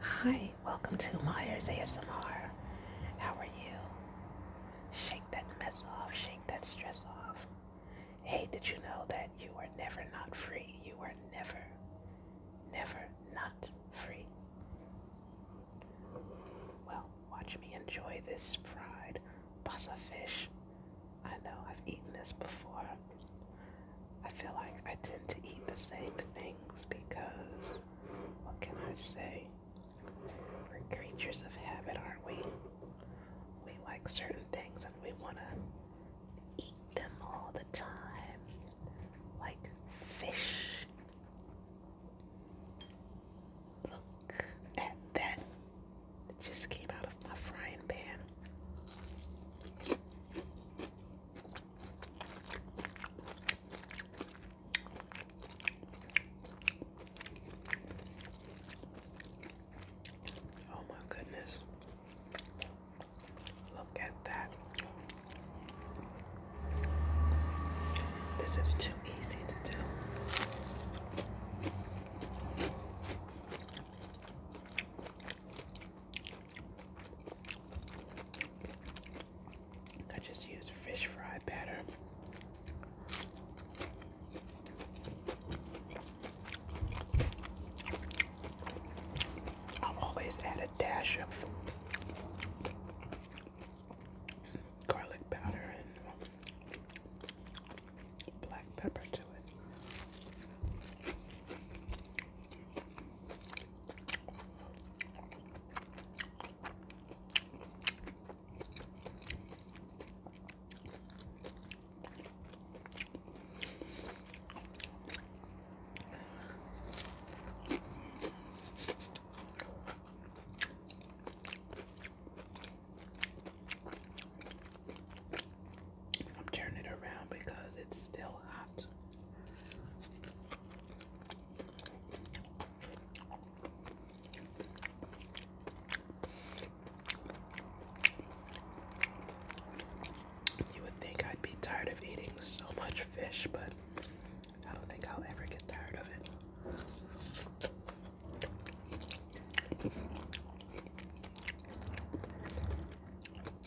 Hi, welcome to Myers ASMR. How are you? Shake that mess off, shake that stress off. Hey, did you know that you were never not free? You were never, never not free. Well, watch me enjoy this fried pasta fish. I know I've eaten this before, I feel like I tend to eat the same things because, what can I say? We're creatures of habit, aren't we? We like certain things and we want to eat them all the time, like fish. Look at that. It just came out of my frying pan. Oh my goodness. Look at that. This is too easy to do. I just use fish fry batter. I always add a dash of garlic powder and black pepper to it. I'm turning it around because it's still hot. You would think I'd be tired of eating so much fish, but I don't think I'll ever get tired of it.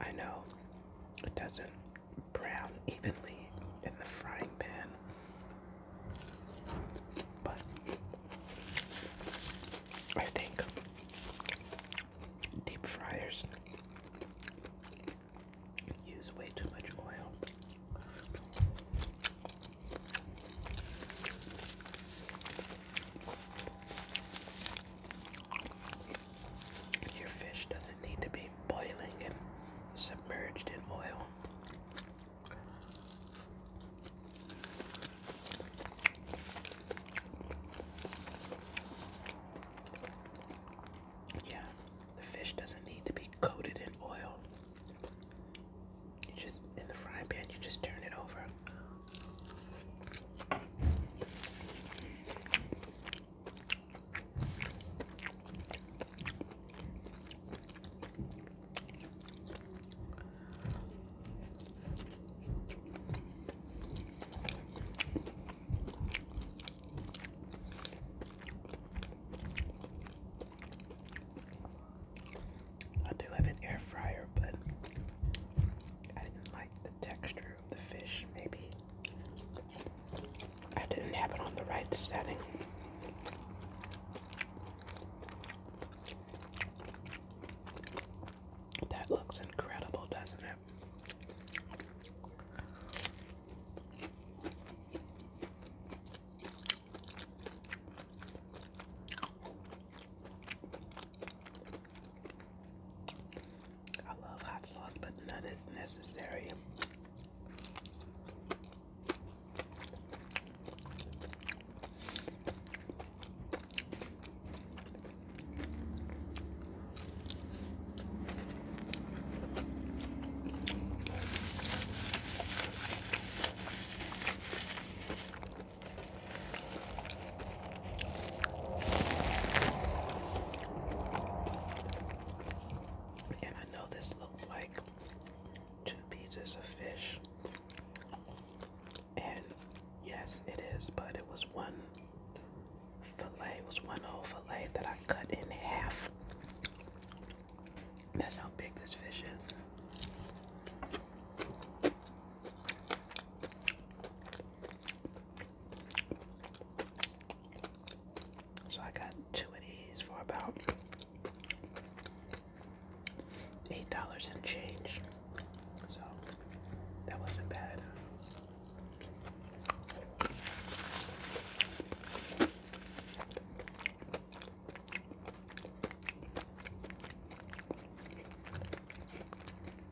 I know it doesn't brown evenly in the frying pan, but I think deep fryers use way too much oil. Your fish doesn't need to be boiling and submerged in oil. Yeah, the fish doesn't need to be coated in oil. You just in the frying pan, you just turn it over. I do have an air fryer, but I didn't the texture of the fish, maybe. I didn't have it on the right setting. That looks incredible, doesn't it? I love hot sauce, but none is necessary. And I know this looks like two pieces of fish. And yes, it is, but it was one fillet, it was one whole fillet that I cut in half. That's how big this fish is. So I got two of these for about eight dollars and change. So that wasn't bad.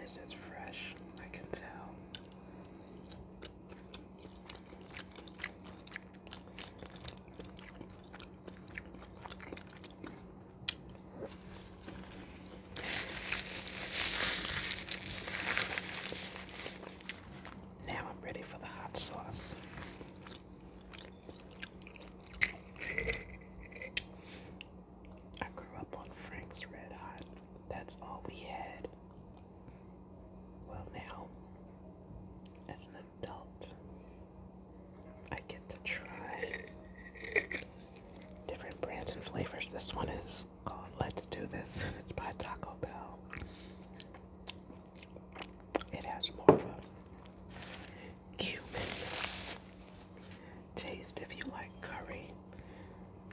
This is fresh, I can tell. Now I'm ready for the hot sauce. I grew up on Frank's Red Hot. That's all we had. Well, now, as an adult, I get to try different brands and flavors. This one is called Let's Do This, it's by Taco Bell. It has more of a cumin taste. If you like curry,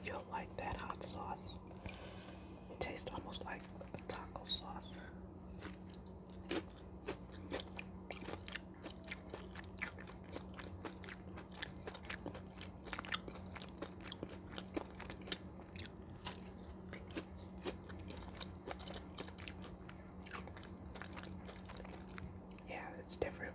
you'll like that hot sauce. It tastes almost like a taco sauce. Yeah, it's different.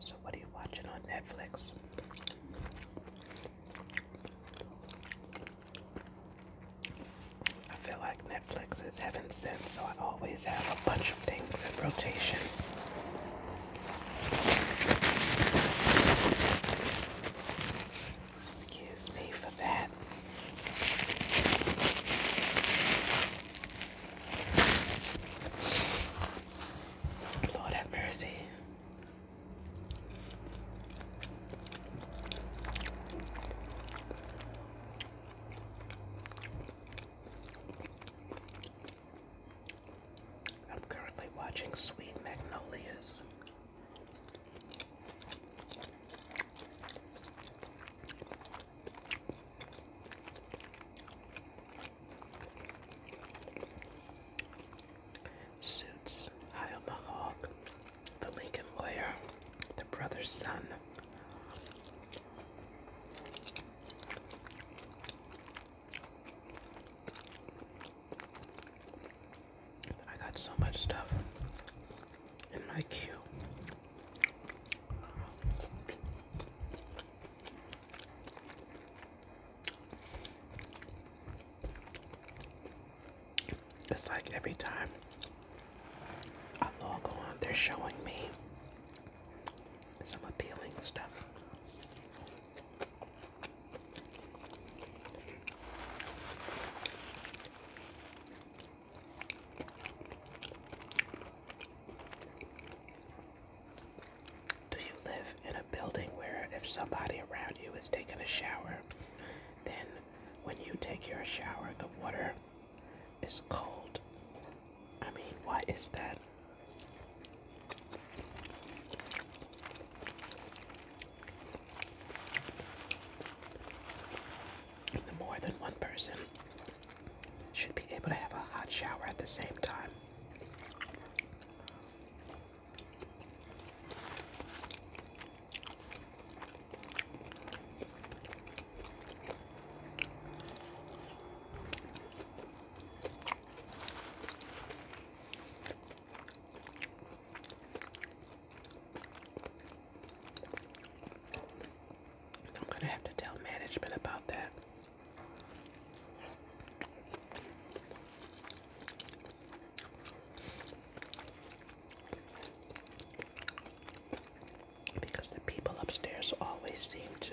So, what are you watching on Netflix? I feel like Netflix is heaven sent, so I always have a bunch of things in rotation. Excuse me for that. Lord have mercy. I'm currently watching Sweet Magnolias. Suits, High on the Hog, The Lincoln Lawyer, brother's son. I got so much stuff in my queue. It's like every time I log on, they're showing me some appealing stuff. Do you live in a building where if somebody around you is taking a shower, then when you take your shower, the water it's cold. I mean, why is that? The more than one person should be able to have a hot shower at the same time. I'm gonna have to tell management about that. Because the people upstairs always seem to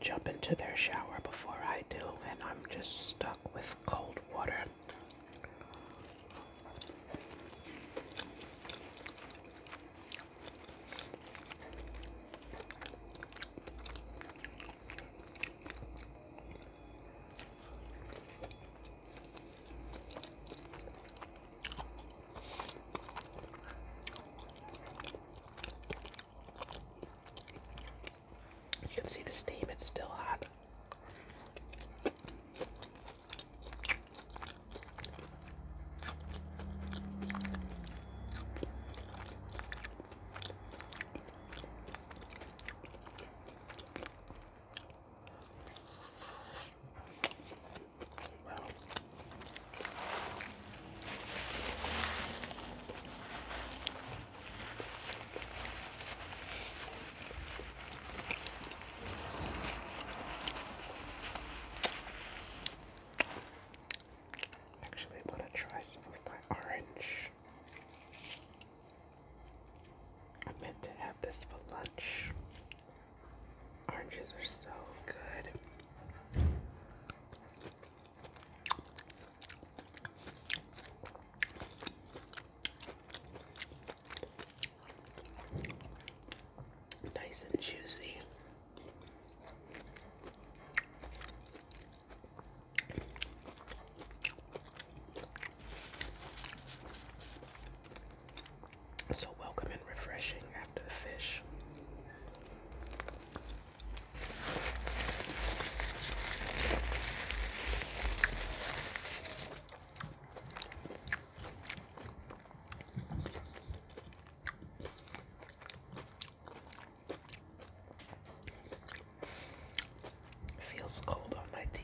jump into their shower before I do, and I'm just stuck with cold water. You can see the steam, it's still hot. Actually, I want to try some of my orange. I meant to have this for lunch, Oranges are so good. Nice and juicy so welcome and refreshing after the fish. feels cold on my teeth.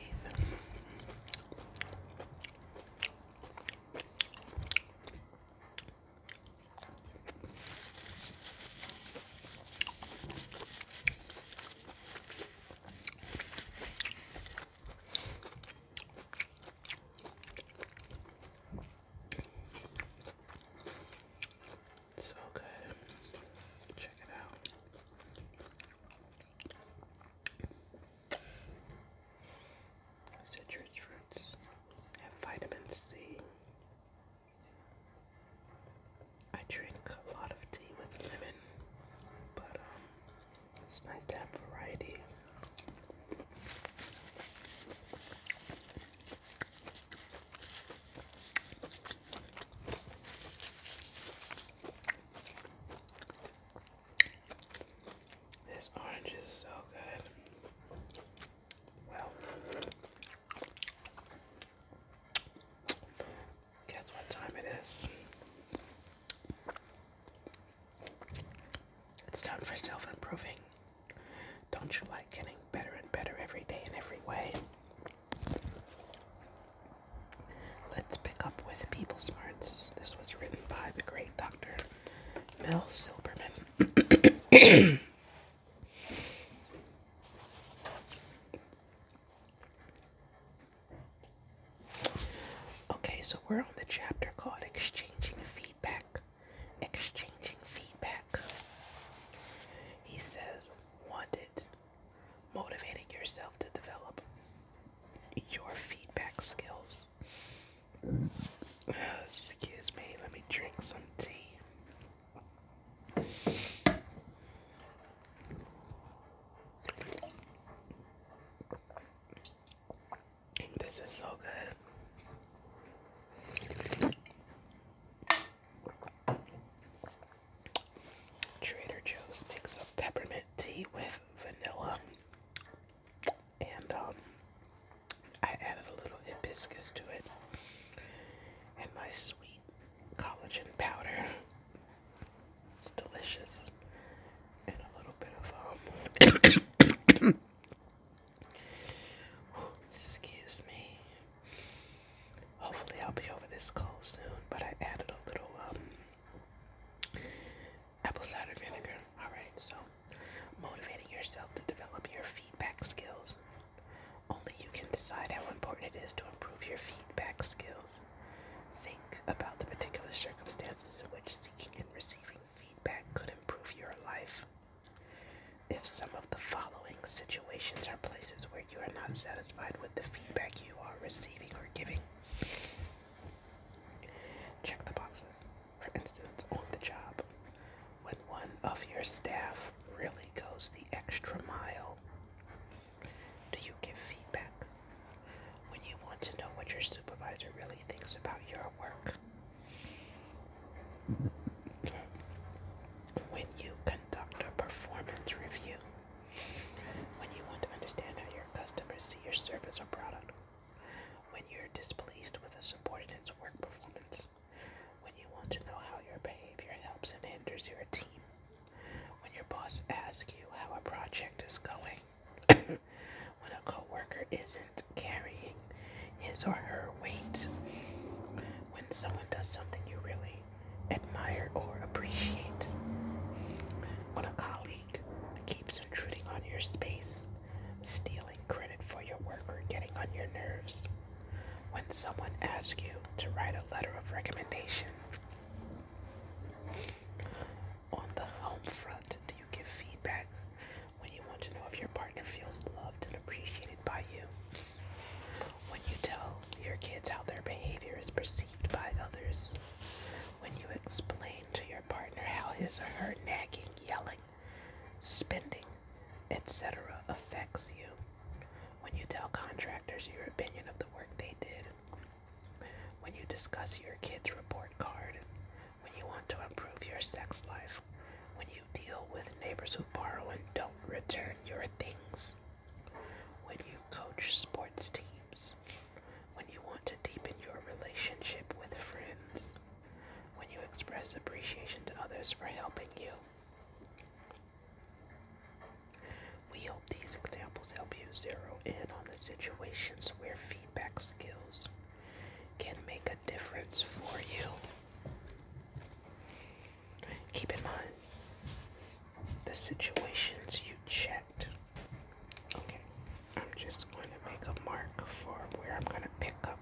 So good. Check it out. Citrus fruits have vitamin C. I drink a lot of tea with lemon, but um, it's nice to have variety. This orange is so good. Well, guess what time it is? It's time for self improving. Don't you like getting better and better every day in every way? Let's pick up with People Smarts. This was written by the great Dr. Mel Silberman. okay, so we're on the chapter called Exchanging Feedback. Exchanging Feedback. He says, wanted, motivating yourself to develop your feedback skills. Excuse me, let me drink some tea. This is so good. Trader Joe's makes a peppermint tea with vanilla and um, I added a little hibiscus to it and my sweet collagen powder. It's delicious. And a little bit of um excuse me. Hopefully I'll be over this cold soon, but I added a little um apple cider vinegar. Alright, so motivating yourself to develop your feedback skills. Only you can decide how important it is to improve your feedback skills. Think about the particular circumstances in which seeking and receiving feedback could improve your life. If some of the following situations are places where you are not satisfied with the feedback you are receiving or giving, Check the boxes. For instance, on the job, when one of your staff really goes the extra mile, do you give feedback? When you want to know what your supervisor really thinks about your work, when you conduct a performance review, when you want to understand how your customers see your service or product. When you're displeased with a subordinate's work performance. When you want to know how your behavior helps and hinders your team. When your boss asks you how a project is going. when a coworker isn't carrying his or her weight. When someone does something you really admire or appreciate. When a colleague clique keeps intruding on your space, stealing credit for your work or getting on your nerves. When someone asks you to write a letter of recommendation, on the home front, do you give feedback when you want to know if your partner feels loved and appreciated by you? When you tell your kids how their behavior is perceived by others, when you explain to your partner how his or her nagging, yelling, spending, etc. affects you. When you tell contractors your opinion of the work they did. When you discuss your kid's report card. When you want to improve your sex life. When you deal with neighbors who borrow and don't return your things. When you coach sports teams when you want to deepen your relationship with friends, when you express appreciation to others for helping you. We hope these examples help you zero in on the situations where feedback skills can make a difference for you. Keep in mind the situations you checked Okay, I'm just going to make a mark for where I'm going to pick up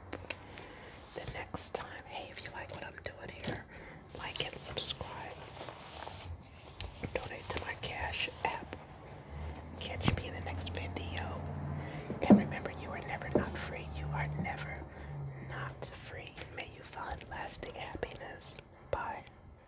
the next time. Hey, if you like what I'm doing here, like and subscribe. Donate to my Cash app. Catch me in the next video. And remember, you are never not free. You are never not free. May you find lasting happiness. Bye.